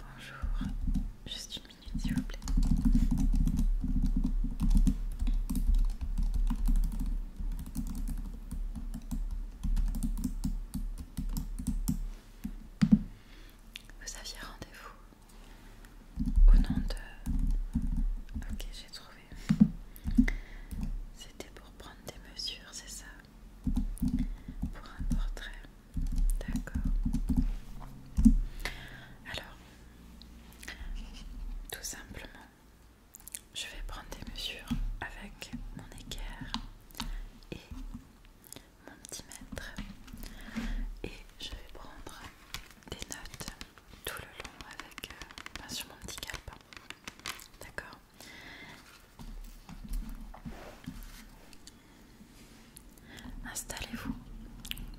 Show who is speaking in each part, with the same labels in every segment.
Speaker 1: Bonjour, juste une minute s'il vous plaît. Vous aviez rendez-vous au nom de... Ok, j'ai trouvé. C'était pour prendre des mesures, c'est ça pour un portrait. D'accord. Alors, tout simplement, je vais prendre des mesures avec mon équerre et mon petit mètre et je vais prendre des notes tout le long avec euh, bah, sur mon petit cap. D'accord Installez-vous,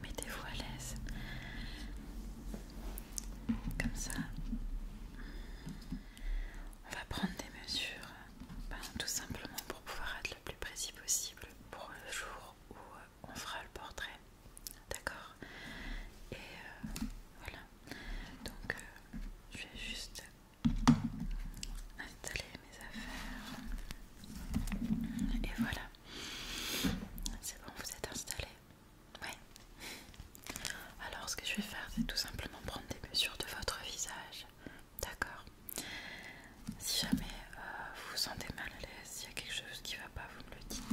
Speaker 1: mettez-vous à l'aise, comme ça. On va prendre des mesures, ben, tout simplement pour pouvoir être le plus précis possible pour le jour où euh, on fera le portrait, d'accord Et euh, voilà. Donc, euh, je vais juste installer mes affaires. Et voilà. C'est bon, vous êtes installé Oui. Alors, ce que je vais faire, c'est tout simplement prendre des mesures de votre visage. D'accord Si jamais euh, vous vous sentez mal à l'aise, s'il y a quelque chose qui ne va pas, vous me le dites.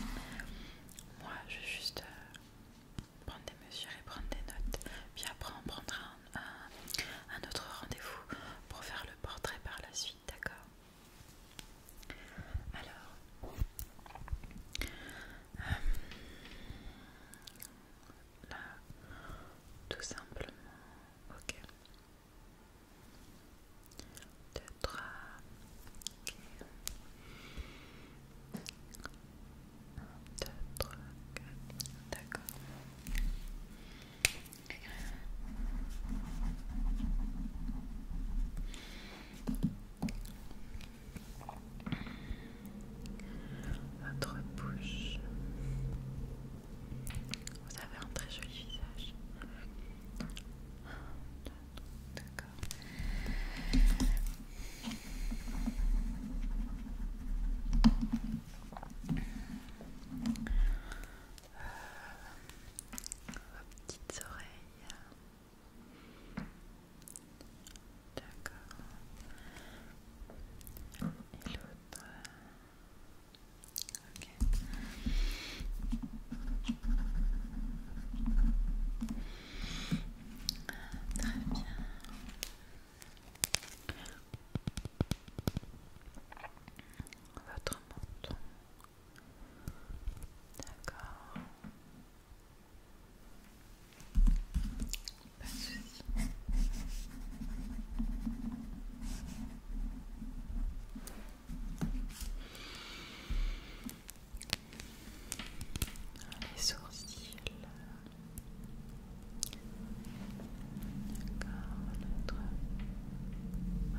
Speaker 1: Moi, je vais juste euh, prendre des mesures et prendre des notes. Puis après, on prendra un, autre rendez-vous pour faire le portrait par la suite, d'accord Alors, euh, là, tout simplement, ok. 2, ok deux trois d'accord. Votre bouche. Vous avez un très joli visage. D'accord petites oreilles. D'accord. Et l'autre. Ok. Très bien votre menton. D'accord les sourcils. D'accord, notre. Euh,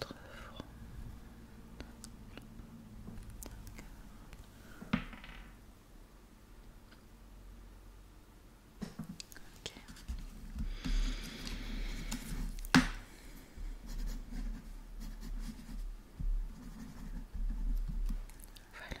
Speaker 1: votre front. Ok. Voilà.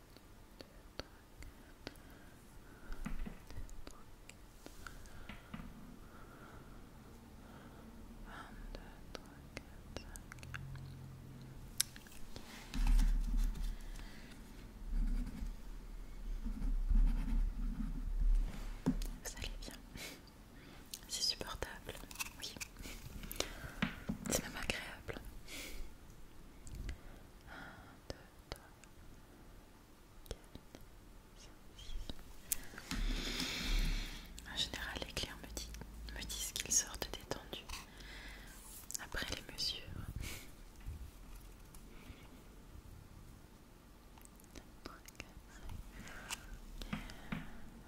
Speaker 1: Vous allez bien C'est supportable, c'est même agréable. En général, les clients me, disent qu'ils sortent détendus après les mesures.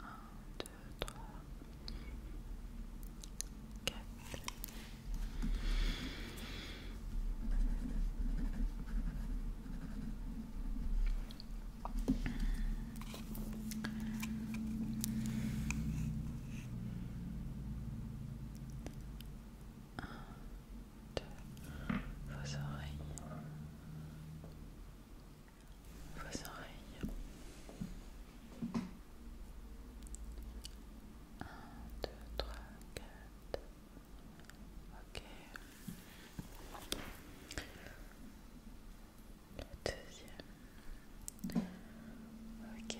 Speaker 1: Un, deux, trois, quatre vos oreilles, vos oreilles. Un, deux, trois, quatre. Ok. deuxième. Ok,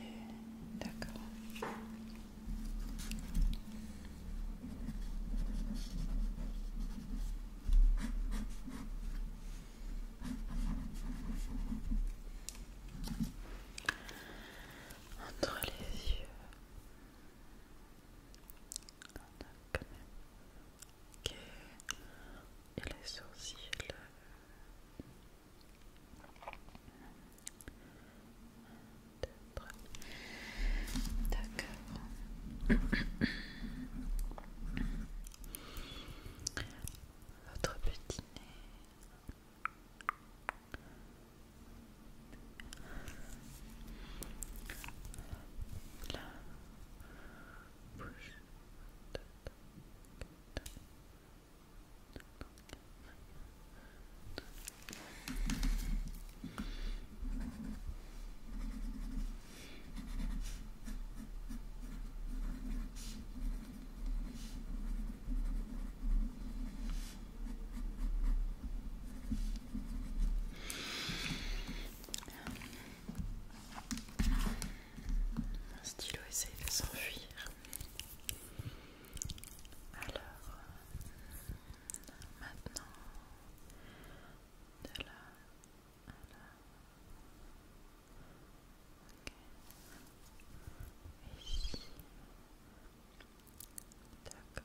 Speaker 1: d'accord. Entre les yeux, et les sourcils. D'accord. Votre petit nez. La Bouche. Mon stylo essaye de s'enfuir. Alors, maintenant, de là à là. Okay. Ici. D'accord.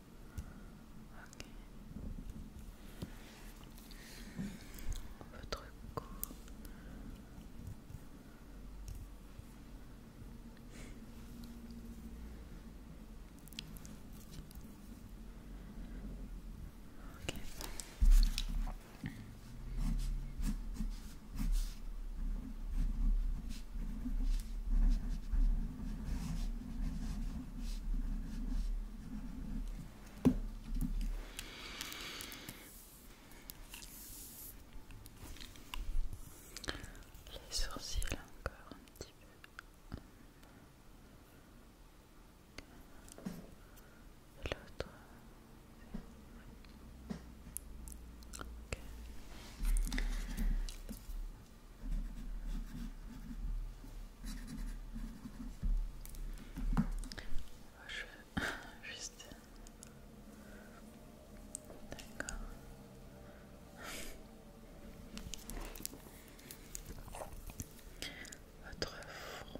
Speaker 1: Un Votre les sourcils encore un petit peu. L'autre. Je veux juste... D'accord. Votre front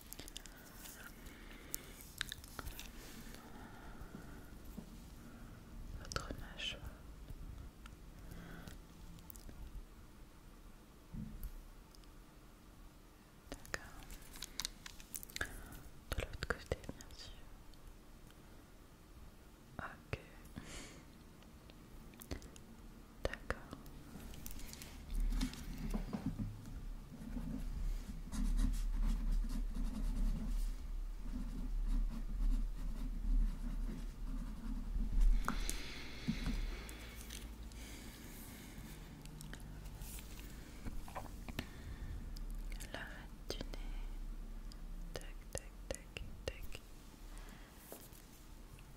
Speaker 1: votre mâchoire. D'accord. De l'autre côté, bien sûr. Ok. D'accord. La du nez. Tac, tac, tac, tac.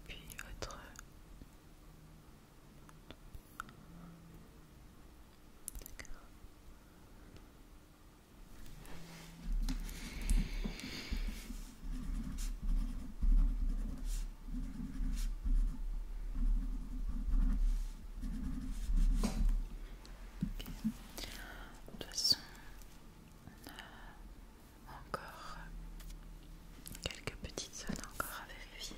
Speaker 1: Puis votre de toute encore quelques petites zones encore à vérifier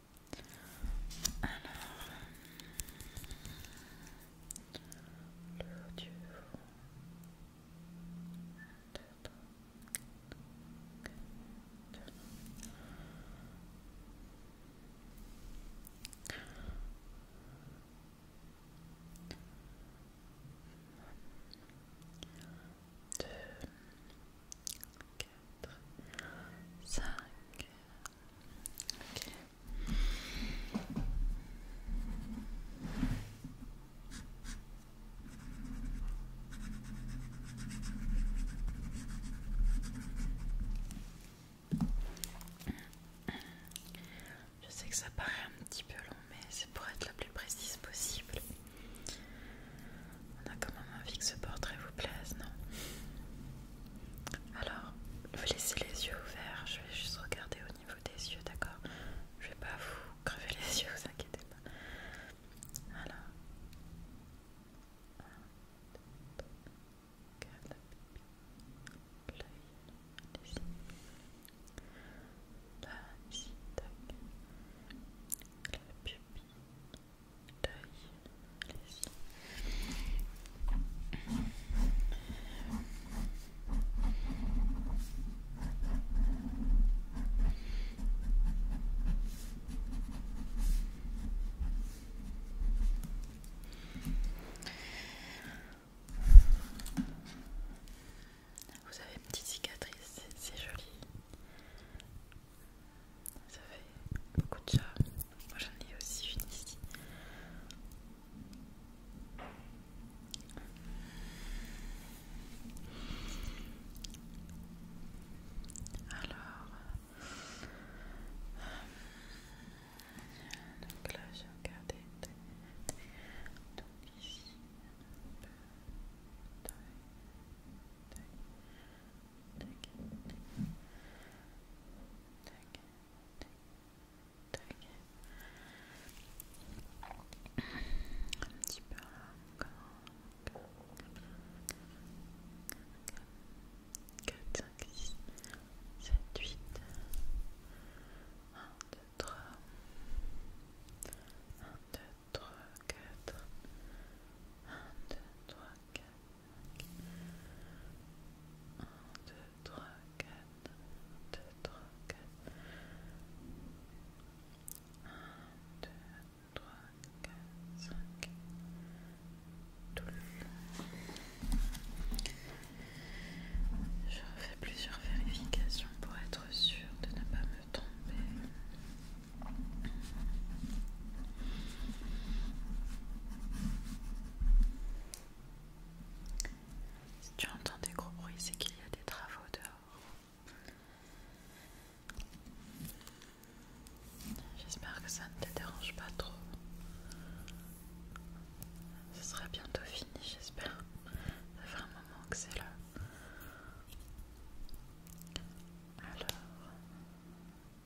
Speaker 1: Alors, le deux, quatre, cinq, je sais que ça paraît un petit peu long, mais c'est pour être la plus précise possible. On a quand même envie que ce portrait vous plaise, non alors, vous laissez les yeux ouverts, je vais juste regarder au niveau des yeux, d'accord Je vais pas vous crever les yeux, vous inquiétez pas. Alors. La pupille. Vous avez une petite cicatrice, c'est joli. Ça fait beaucoup de chats. Moi j'en ai aussi une ici. Alors, euh, donc là j'ai regardé. Donc ici, un peu, taille, taille, un petit peu là Quatre, cinq, sept, huit. Un, deux, trois. quatre. Un, deux, trois, quatre. 2, 3, 1, 2, 3, 4, 2, 3, 4, 5, Je refais plusieurs vérifications pour être sûre de ne pas me tromper. Si tu entends des gros bruits, c'est qu'il y a des travaux dehors. J'espère que ça ne te dérange pas trop. Ce sera bientôt fini, j'espère. Ça fait un moment que c'est là. Alors,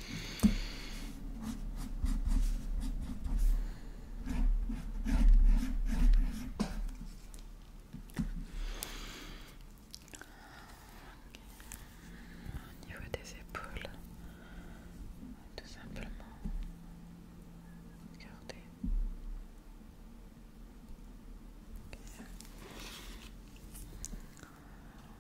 Speaker 1: Au niveau des épaules, tout simplement regardez.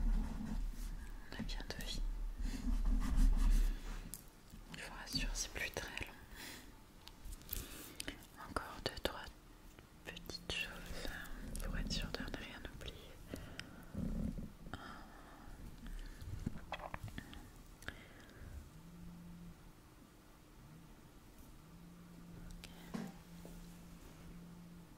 Speaker 1: On a bien deviné. Je faut rassurer, c'est plus très long. Encore deux, trois petites choses hein, pour être sûr de ne rien oublier. Et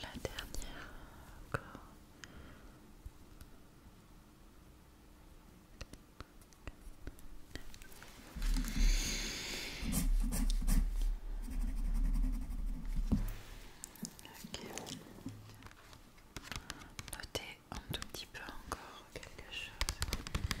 Speaker 1: la dernière corde. Notez un tout petit peu encore quelque chose en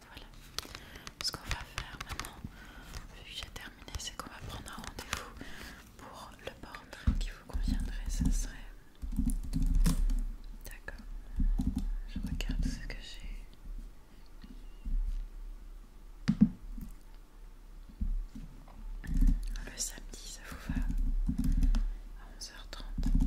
Speaker 1: Voilà. Ce qu'on va faire maintenant, vu que j'ai terminé, c'est qu'on va prendre un rendez-vous pour le portrait qui vous conviendrait. Ce serait. D'accord. Je regarde ce que j'ai. Le samedi, ça vous va à 11h30.